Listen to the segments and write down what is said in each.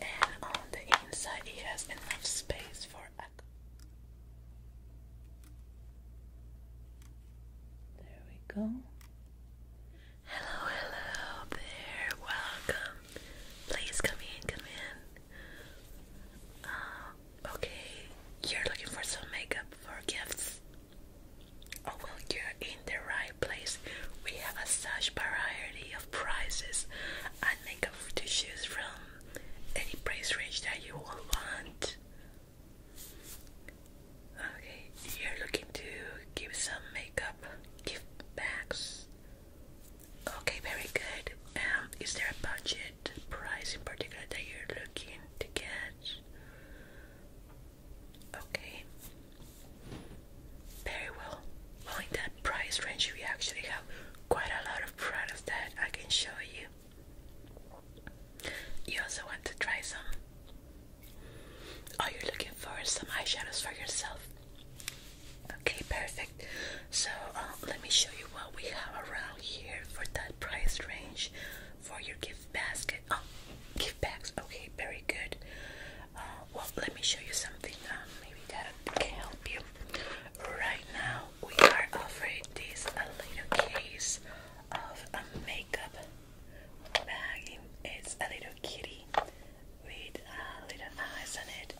And on the inside, it has enough space for a. There we go. Hello, hello there. Welcome. Please come in, come in. Um, okay, you're looking for some makeup for gifts. Oh well, you're in the right place. We have a such variety of prices and makeup to choose from. Any price range that you will want. Okay, you're looking to give some makeup gift bags. Okay, very good. Um, is there a budget price in particular that you're looking to get? Okay. Very well. Well, in that price range, we actually have quite a lot of products that I can show you. You also want to try some? Oh, you're looking for some eyeshadows for yourself? Okay, perfect. So, uh, let me show you what we have around here for that price range for your gift basket. Oh, gift bags. Okay, very good. Uh, well, let me show you something. Um, maybe that can help you. Right now, we are offering this little case of a makeup bag. It's a little kitty with uh, little eyes on it.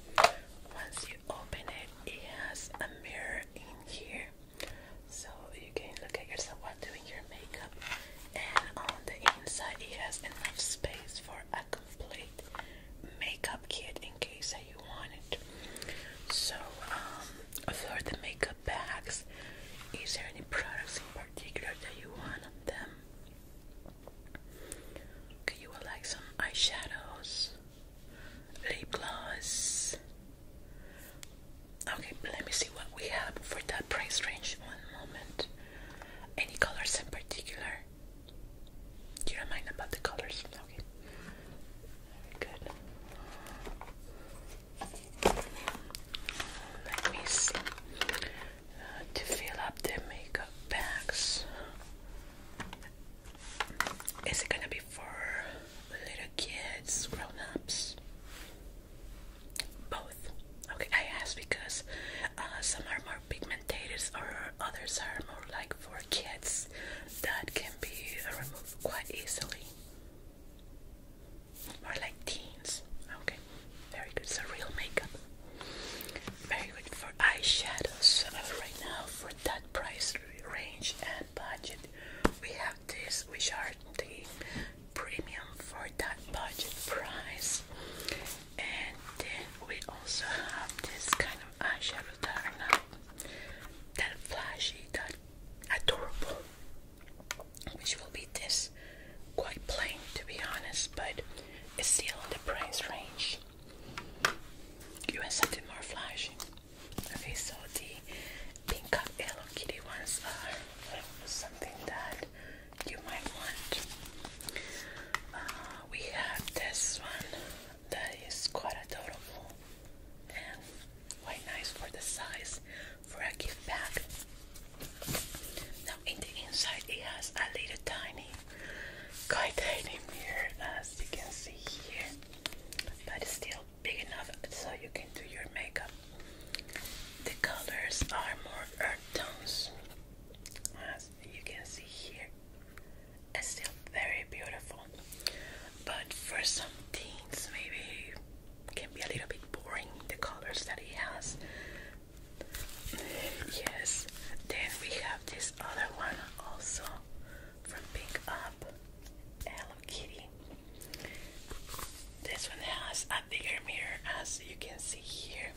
Once you open it, it has a mirror in here, so you can look at yourself doing your makeup, and on the inside it has enough space for a complete makeup kit in case that you want it. So, um, for the makeup bags, is there any products in particular that you want on them? you would like some eyeshadows, lip gloss, Okay, let me see what we have for that price range. One moment. Any colors in particular? Do you mind about the colors? Okay. good. Let me see. Uh, to fill up the makeup bags. Is it gonna be for little kids, grown ups? Both. Okay, I asked because uh, some are more pigmented or others are more like for kids that can be removed quite easily. More like teens. Okay, very good. So real makeup. Very good for eyeshadows. Uh, right now, for that price range and budget, we have this, which are the premium for that budget price. And then we also have this kind of eyeshadow that are not that flashy, that adorable, which will be this quite plain to be honest, but it's still in the price range. You want something more flashy. Okay, so the pink up Hello Kitty ones are something that you might want. Uh, we have this one that is quite adorable and quite nice for the size for a gift bag. Now, in the inside, it has a little tiny, quite tiny mirror, as you can see here, but still big enough so you can do your makeup. The colors are more earth tones, as you can see here. It's still very beautiful, but for some teens, maybe can be a little bit boring. The colors that he has. Yes. Then we have this other one also from Pick Up Hello Kitty. This one has a bigger mirror as you can see here.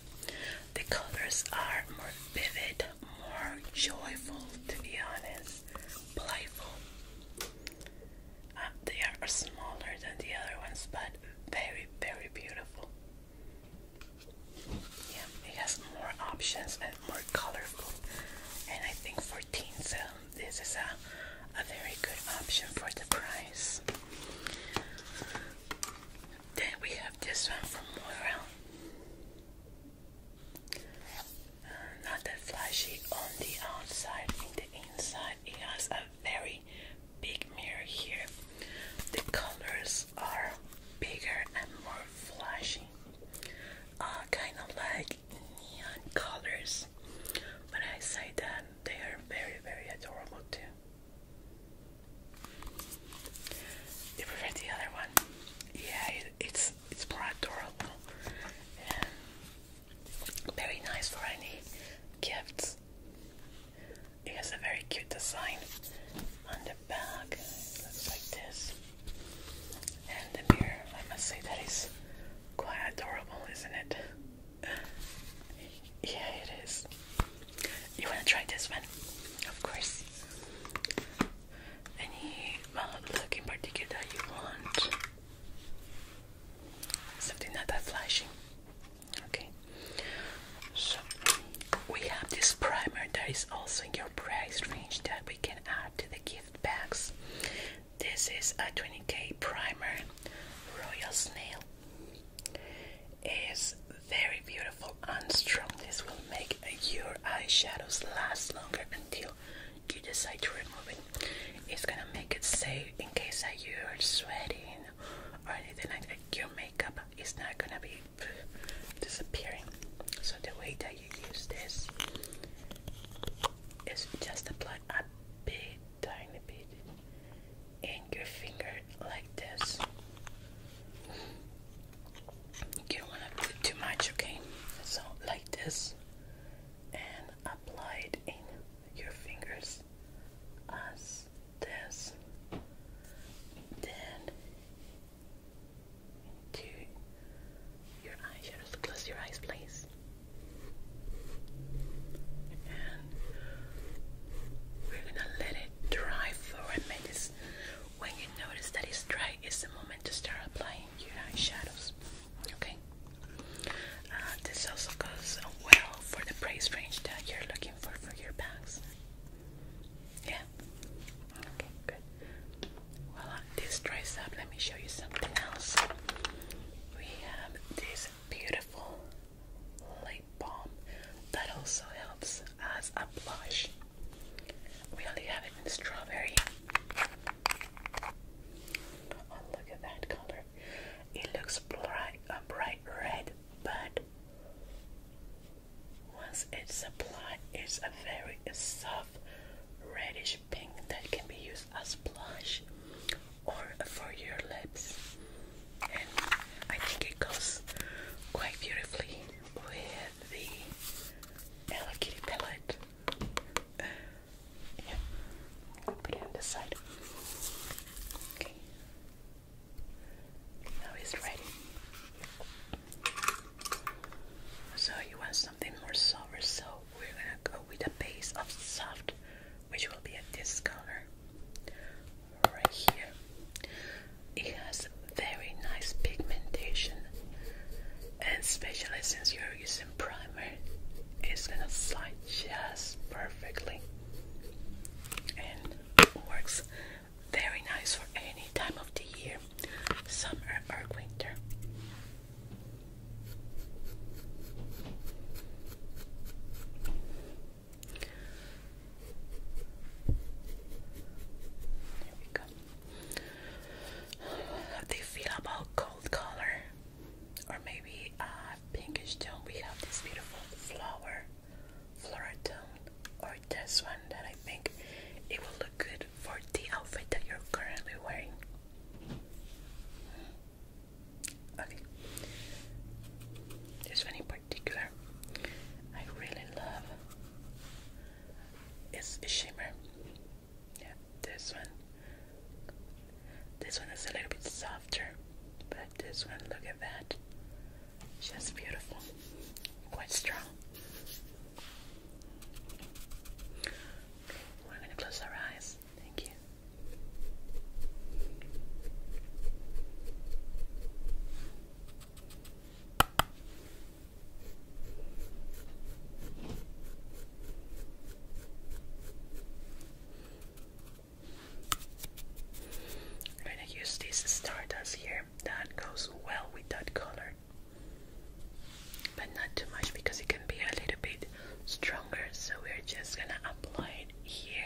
The colors are more vivid, more joyful to be honest, playful. Uh, they are smaller than the other ones but very, very beautiful. Yeah, it has more options and more colorful. And I think for teens, uh, this is a, a very good option for the price. Then we have this one from Moira. Uh, not that flashy on the outside, in the inside, it has a very big mirror here. The colors are bigger and more flashy, uh, kind of like neon colors. But I say that they are very, very adorable too. You prefer the other one? Yeah, it's it's more adorable very nice for any gifts. It has a very cute design on the back. looks like this. And the mirror, I must say that is quite adorable, isn't it? yeah, it is. You wanna try this one? Of course. Any look in particular you want? Something not that flashy. Okay. So we have this primer that is also in your price range that we can add to the gift bags. This is a 20k primer, Royal Snail is very beautiful and strong. This will make your eyeshadows last longer until you decide to remove it. It's gonna make it safe in case that you're sweating or anything like that. Your makeup is not gonna be disappearing. So the way that you use this is just apply a big tiny bit and your finger like this. You don't want to do too much, okay? So, like this, and apply it in your fingers as this. Then, into your eyes. Close your eyes, please we're gonna let it dry for a minute. When you notice that it's dry, it's the moment to start applying your eyeshadows. Okay. Uh, this also goes well for the price range that you're looking for for your bags. Yeah. Okay, good. Well, this dries up. Let me show you something else. We have this beautiful lip balm that also helps as a blush. We only have it in strawberry. Oh, look at that color. It looks bright, a bright red, but once it's applied, it's a very soft reddish pink that can be used as blush or for your lips. And I think it goes quite beautifully with the Hello palette. Uh, I'll put it on the side. Okay, now it's ready. So you want something more sober, so we're gonna go with a base of soft, which will be a this color right here. It has very nice pigmentation, and especially since you're using primer, it's gonna slide just perfectly and works very nice for any time of the year, summer or winter. How do you feel about gold color? Or maybe a uh, pinkish tone. We have this beautiful flower, floral tone, or this one that I think it will look good for the outfit that you're currently wearing. Okay. This one in particular, I really love. It's a shimmer. Yeah, this one. This one is a little bit softer, but this one, look at that. Just beautiful. Quite strong. we're gonna close our eyes. Thank you. I'm going to use this stardust here. That goes well with that color, but not too much because it can be a little bit stronger. So we're just going to apply it here.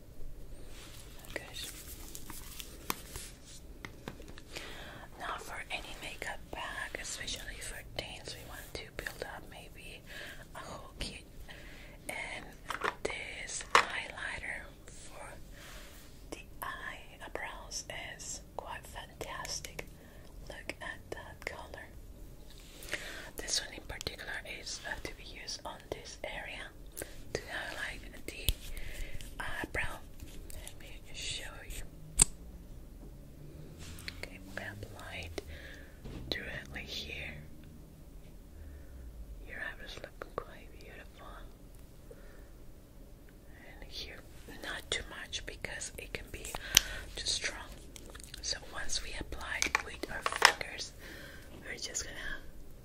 Now for any makeup bag, especially for teens, we want to build up maybe a whole kit. And this highlighter for the eyebrows is quite fantastic. Look at that color. This one in particular is uh, to be used on this area to highlight the eyebrow. Let me show you. Okay, we apply directly here. Your eyebrows look quite beautiful. And here, not too much because it can be too strong. So once we apply with our fingers, we We're just gonna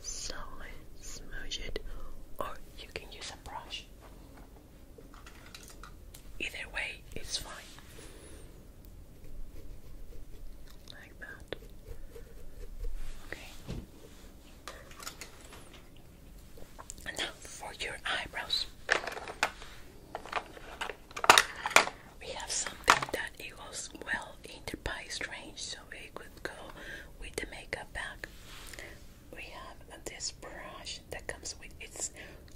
slowly smudge it, or you can use a brush. Either way, it's fine. Like that. Okay. now for your eyebrows we have something that it goes well in the price range, so we could go with the makeup bag. We have this brush that comes with its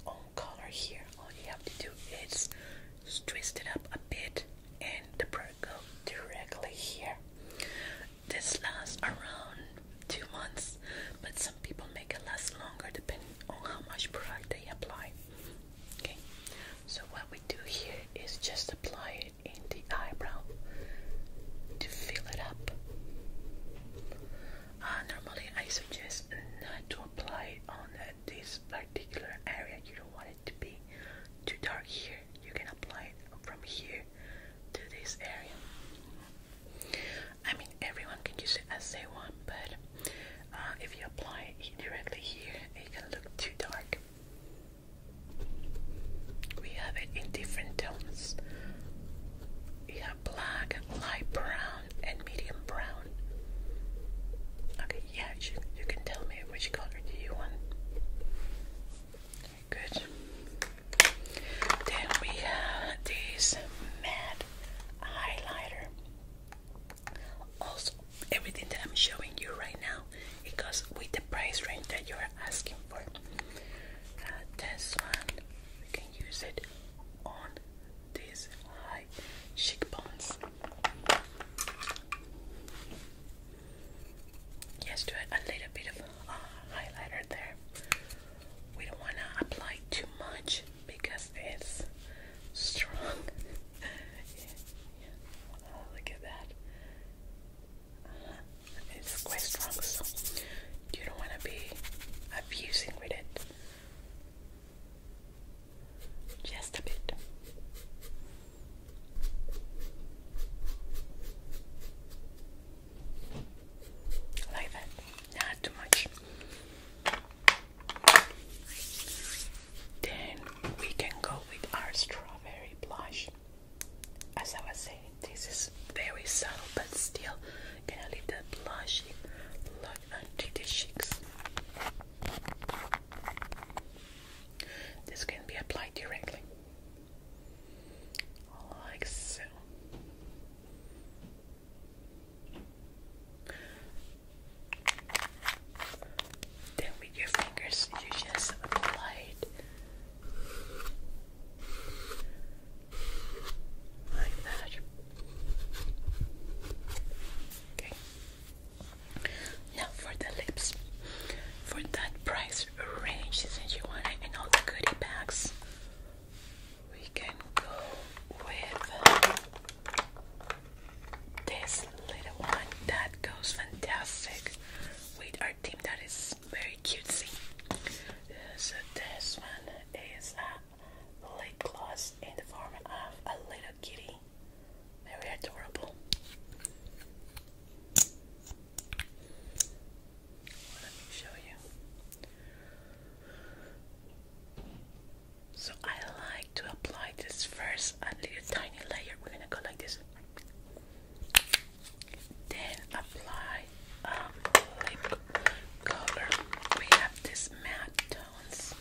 own color here. All you have to do is twist it up a bit, and the brush goes directly here. This lasts around two months, but some people make it last longer depending on how much product they apply. Okay, so what we do here is just apply it in the eyebrow to fill it up. Uh, normally I suggest not to apply it on this particular area. You don't want it to be too dark here. You can apply it from here to this area. I mean, everyone can use it as they want, but uh, if you apply it directly here, it can look too dark. We have it in different tones. We have black, light brown, and medium brown. Okay, yeah, you, can tell me which color do you want. Good. Then we have this matte highlighter. Also, everything that I'm showing you right now, because with the price range that you're asking for. Uh, this one, we can use it on these high cheekbones. Yes, do a little bit of uh, highlighter there. We don't want to apply too much because it's strong. look at that. it's quite strong, you don't want to be abusing with it. Just a bit. Like that. Not too much. Then we can go with our strawberry blush. As I was saying, this is very subtle, but still can to leave that blush look onto the cheeks. This can be applied directly, like so. Then with your fingers, you just apply it like that. Okay. Now for the lips. For that price range, since you want it in all the goodie bags, we can go with this little one that goes fantastic with our team that is very cutesy. So this one is a lip gloss in the form of a little kitty. Very adorable. Let me show you. So I like to apply this first a little tiny layer. We're gonna go like this. Then apply um, lip color. We have this matte tones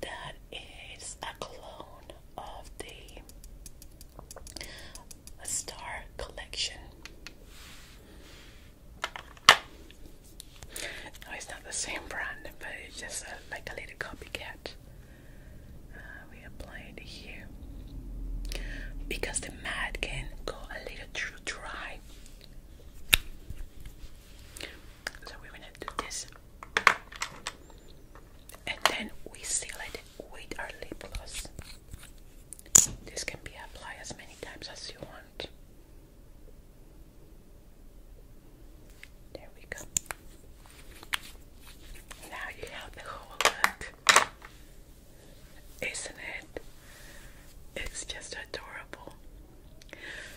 that is a clone of the Star Collection. No, it's not the same brand, but it's just like a little copycat. Uh, we apply it here because the mat can go a little too dry. So we're gonna do this, and then we seal it with our lip gloss. This can be applied as many times as you want. There we go. Now you have the whole look. Isn't it? It's just adorable.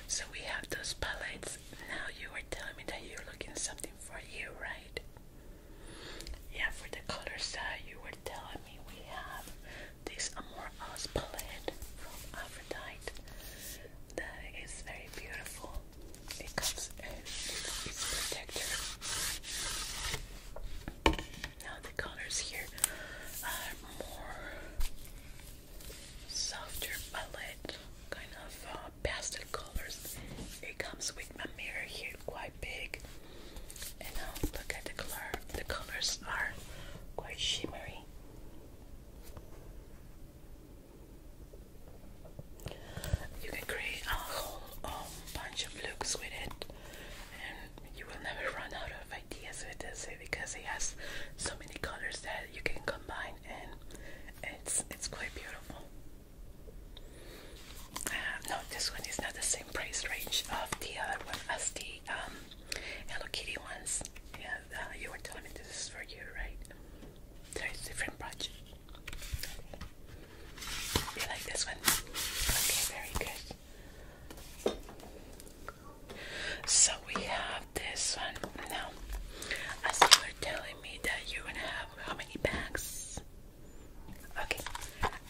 So we have those palettes. Now you are telling me that you're looking something for you, right? Yeah, for the color side, you were telling me we have this Amor palette from Aphrodite that is very beautiful. It comes with its protector. Now the colors here are more softer palette, kind of uh, pastel colors. It comes with my mirror here, quite big. And now look at the color. The colors are quite shimmery. You can create a whole um, bunch of looks with it, and you will never run out of ideas with this eh, because it has so many colors that you can combine, and it's it's quite beautiful. Uh, no, this one is not the same price range of the other one as the um, Hello Kitty ones. Yeah, uh, you were telling me this is for you, right? There is different project. You like this one? Okay, very good. So we have this one now. As you telling me that you're have how many bags? Okay,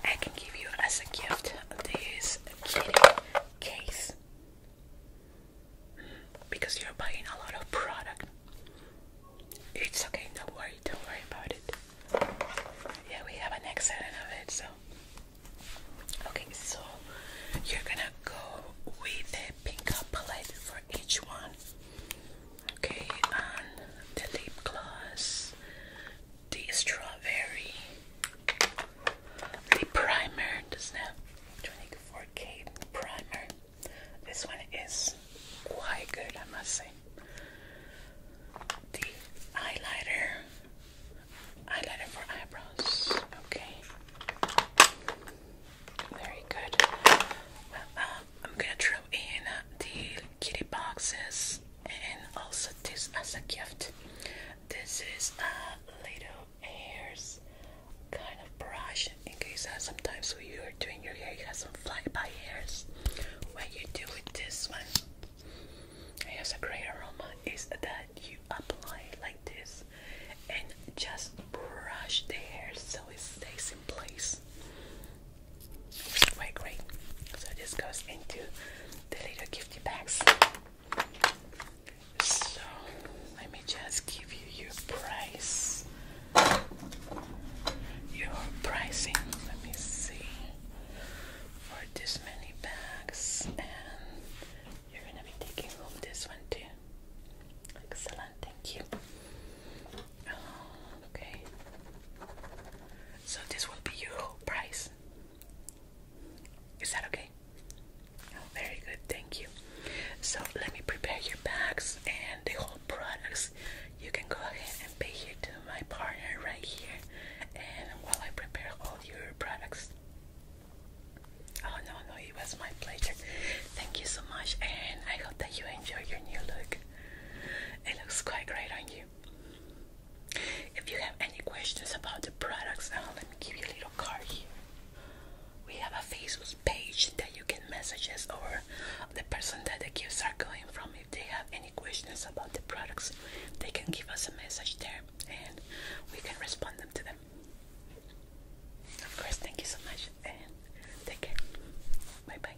I can give you as a gift this case mm, because you're buying a lot of product. It's okay, don't worry, don't worry about it. Yeah, we have an excellent of it, so okay, so you're gonna go with the pink palette for each one. Okay, and the lip gloss, the strawberry, the primer, the snap 24K primer. This one is quite good, I must say. The highlighter, highlighter for eyebrows. Okay, very good. Um, I'm gonna throw in the kitty boxes and also this as a gift. This is a uh, little hairs kind of brush in case uh, sometimes when you're doing your hair you have some flyby hairs. What you do with this one, it has a great aroma is that you apply like this and just brush the hair so it stays in place. Quite great. So this goes into the little gifty bags. So let me just give you your price your pricing. Let me see for this many bags, and you're gonna be taking home this one too. Excellent, thank you. Oh, okay, so this will be your whole price. Is that okay? Oh, very good, thank you. So let me prepare your bags and the whole products, you can go ahead and pay here to my partner right here, and while I prepare all your products. Oh no, no, it was my pleasure. Thank you so much, and I hope that you enjoy your new look. It looks quite great on you. If you have any questions about the products, now uh, let me give you a little card here we have a Facebook page that you can message us or the person that the gifts are going from. If they have any questions about the products, they can give us a message there and we can respond them to them. Of course, thank you so much and take care. Bye bye.